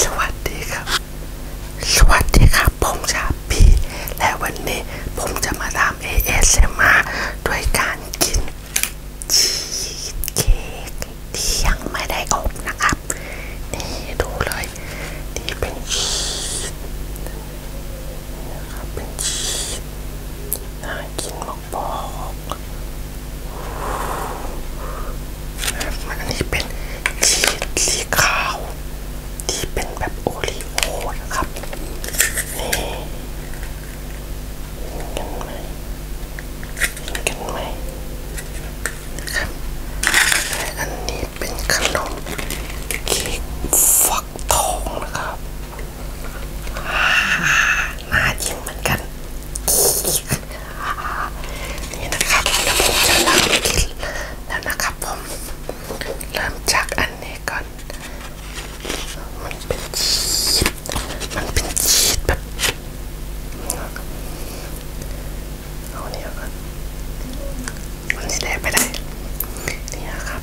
สวัสดีครับ สวัสดีครับผมชาพีและวันนี้ผมจะมาทำ ASMR ด้วยการกินชีสเค้กที่ยังไม่ได้อบนะครับ นี่ดูเลย นี่เป็นชีสนะครับเป็นชีสน่ากินมากปอกอันนี้เป็นชีสสีขาวที่เป็นแบบโอรีโอนะครับนี่เห็นกันไหมเห็นกันไหมครับและอันนี้เป็นขนมเค้กฟักทองนะครับน่ากินเหมือนกันนี่นะครับแล้วผมจะเริ่มกินแล้วนะครับผมเริ่มจากอันนี้ก่อนมันเป็นชีสมันเป็นชีสแบบเอาเนี่ยก่อนมันสีแดงไปได้นี่นะครับ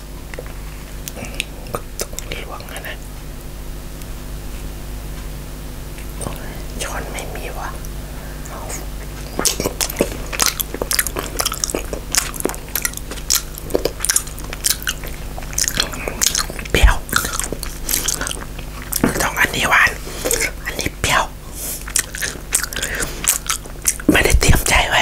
ต้องหลวงนะช้อนไม่มีวะเปรี้ยวต้องอันนี้หวานอันนี้เปรี้ยวไม่ได้เตรียมใจไว้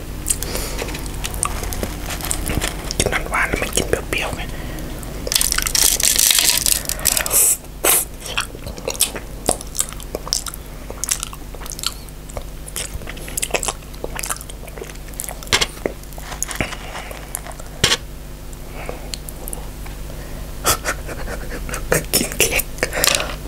กินหวานๆไม่กินเปรี้ยวๆไงกินเค้ก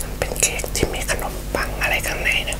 มันเป็นเค้กที่มีขนมปังอะไรข้างในนะ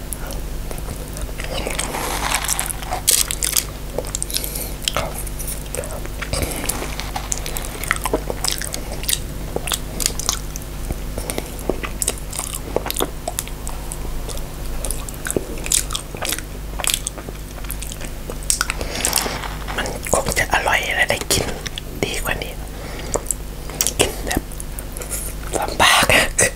มันคงจะอร่อยและได้กินดีกว่านี้กินแบบลำบาก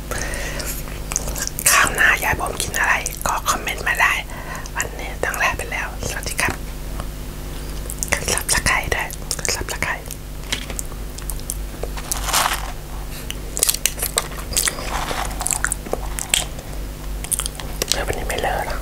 ับข้าวหน้าอยากผมกินอะไรก็คอมเมนต์มาได้ วันนี้ตั้งแลาไปแล้ว สวัสดีครับกดซับสไครตด้วยกดซับสไครต์เดี๋ยววันนี้ไม่เลอะนะ